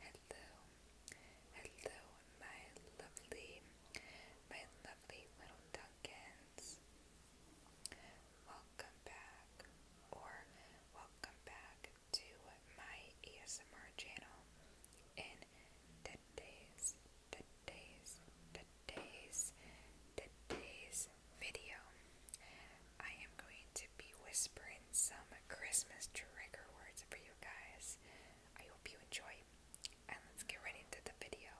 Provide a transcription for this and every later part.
Hello, hello, my lovely, my lovely little Duncans. Welcome back, or welcome back to my ASMR channel. In today's, today's, today's today's today's video I am going to be whispering some Christmas trigger words for you guys. I hope you enjoy and let's get right into the video.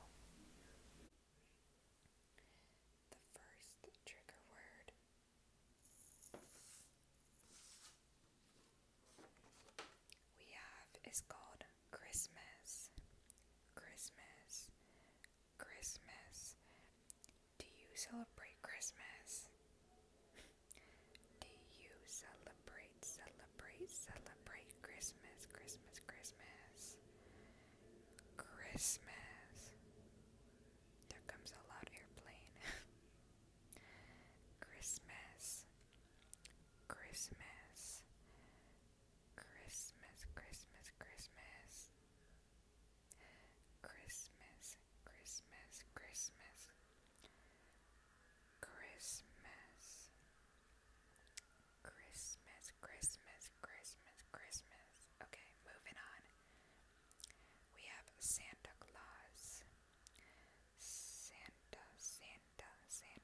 The first trigger word we have is called Christmas. Christmas. Christmas. Do you celebrate Christmas? Do you celebrate, celebrate, celebrate Christmas, Christmas, Christmas? Christmas. There comes a loud airplane. Christmas. Christmas. Christmas, Christmas, Christmas. Christmas, Christmas, Christmas. Christmas. Christmas, Christmas, Christmas, Christmas. Okay, moving on. We have Santa Claus. Santa, Santa, Santa.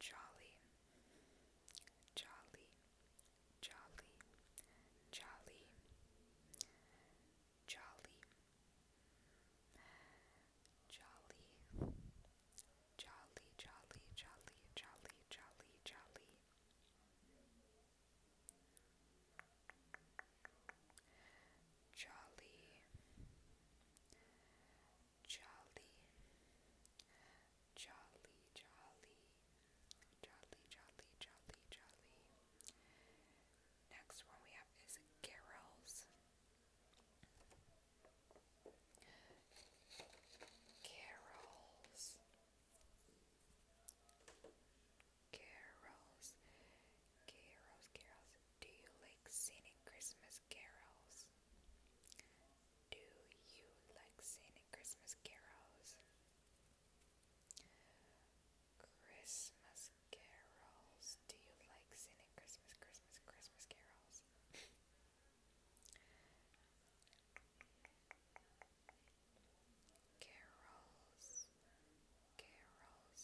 jolly, jolly, jolly, jolly, jolly, jolly, jolly, jolly, jolly, jolly, jolly, jolly. Jolly, jolly, jolly, jolly, jolly, jolly, jolly, jolly. Next one we have is Carol's. Carol's. Carols, carols, carols. Do you like singing Christmas carols? Do you like singing Christmas carols? Christmas carols. Do you like singing Christmas, Christmas, Christmas carols? carols, carols, carols,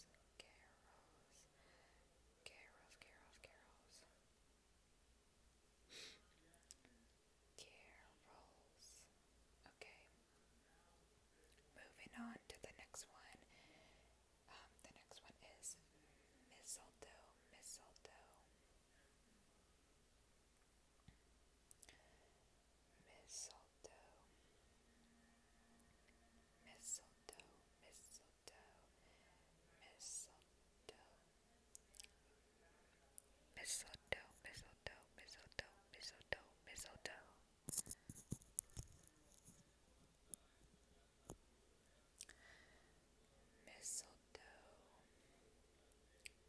carols, carols, carols. Okay. Moving on to the next one. Um, the next one is mistletoe, mistletoe. Mistletoe. Mistletoe, mistletoe, mistletoe. Mistletoe, mistletoe, mistletoe, mistletoe, mistletoe. Mistletoe. Mistletoe,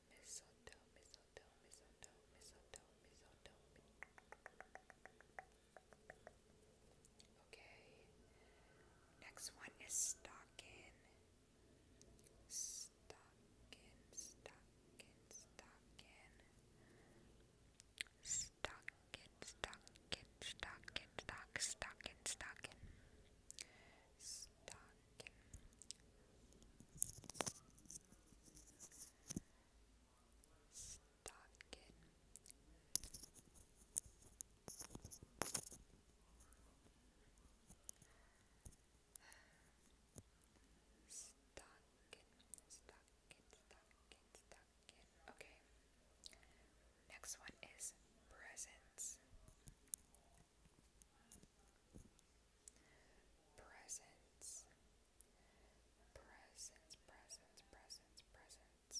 mistletoe, mistletoe, mistletoe, mistletoe. Okay. Next one is stocking stockin, stockin, stockin, stockin, stockin, stockin, stock, stockin, stockin, stockin. Stockin. Stockin. Okay. Next one is presence. Presents. Presents, presents, presents, presents.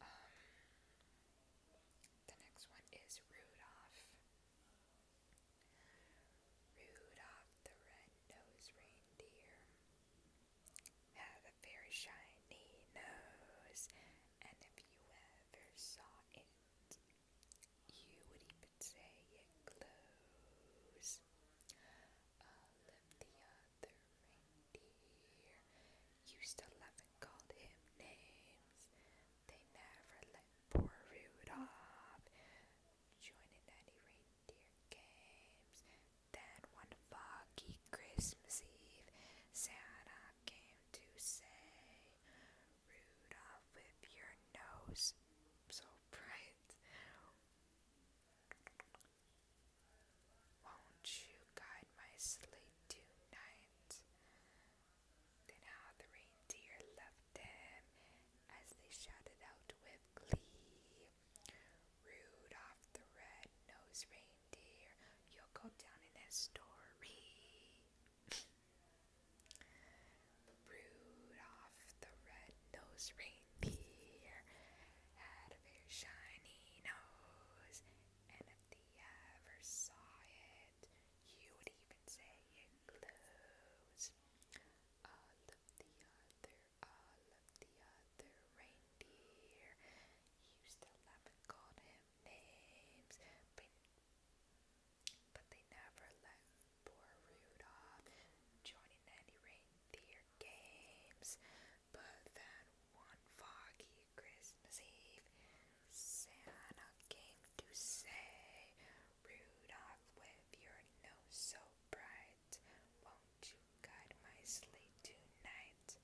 Um, the next one is Rudolph. Rudolph the red-nosed reindeer had a very shiny nose, and if you ever saw it, you would even say it glows other reindeer used to love and called him names. They never let poor Rudolph join in any reindeer games. Then one foggy Christmas Eve, Santa came to say, Rudolph, with your nose so bright, won't you guide my sleigh tonight? Then how the reindeer loved them as they shouted out with glee. Rudolph the red-nosed reindeer, you'll go down in history. Rudolph the red-nosed reindeer had a very shiny nose and a the ever saw it, you would even say it glows. All of the other, all of the other reindeer used to love and call him names, but they never let poor Rudolph join in any reindeer games. But then one foggy Christmas Eve, Santa came to say, Rudolph, with your nose so bright, won't you guide my sleigh tonight?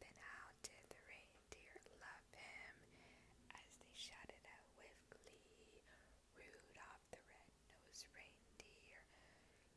Then how did the reindeer love him as they shouted out with glee? Rudolph the red-nosed reindeer,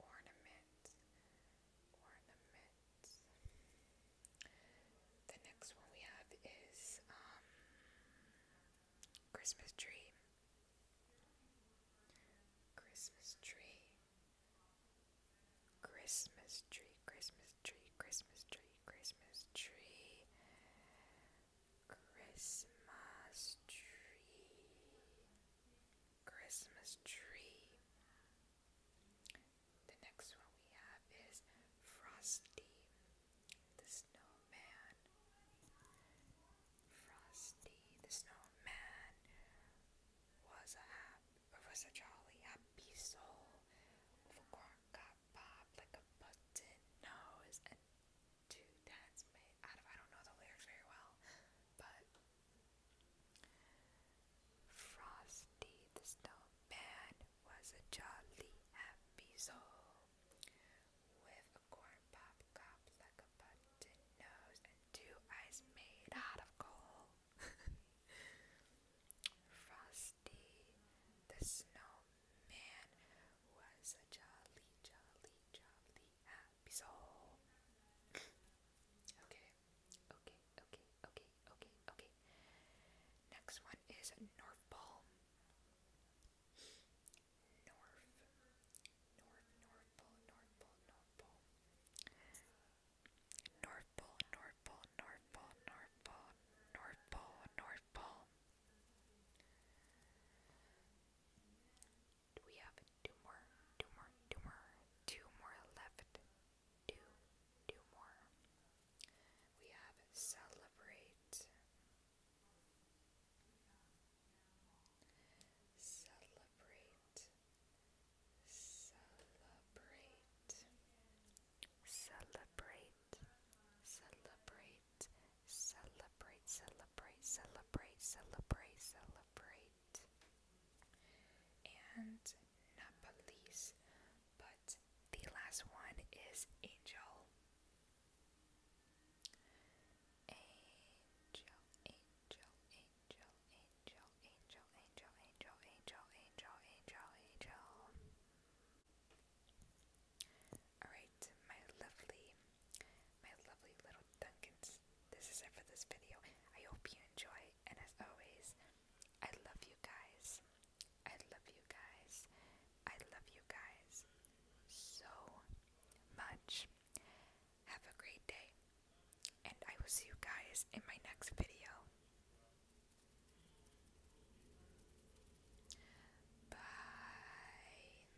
Ornaments, ornaments. The next one we have is um, Christmas tree. Christmas tree. Christmas tree, Christmas tree, Christmas tree, Christmas tree, Christmas tree, Christmas tree. The next one we have is Frosty the Snowman. Frosty the Snowman was a happy, was a jolly happy soul with a corn cob like a button nose and two tenets made out of. I don't know the lyrics very well, but Frosty the Snowman was a jolly happy soul with a corn pop cup like a button nose and two eyes made out of coal. Frosty the Snowman was a jolly, jolly, jolly happy Bisol. okay, okay, okay, okay, okay, okay. Next one is North Pole. North Pole, North Pole, North Pole, North Pole, North Pole, North Pole we have two more, two more, two more, two more left? Two, two more. We have Celebrate. Celebrate. Celebrate. Celebrate. Celebrate. Celebrate. Celebrate. Celebrate. Celebrate celebrate and not but the last one is angel angel angel angel angel angel angel angel angel angel angel angel all right my lovely my lovely little Duncans. This is it for this video. I hope you enjoy, and as always, I love you guys. I love you guys. I love you guys so much. Have a great day, and I will see you guys in my next video. Bye.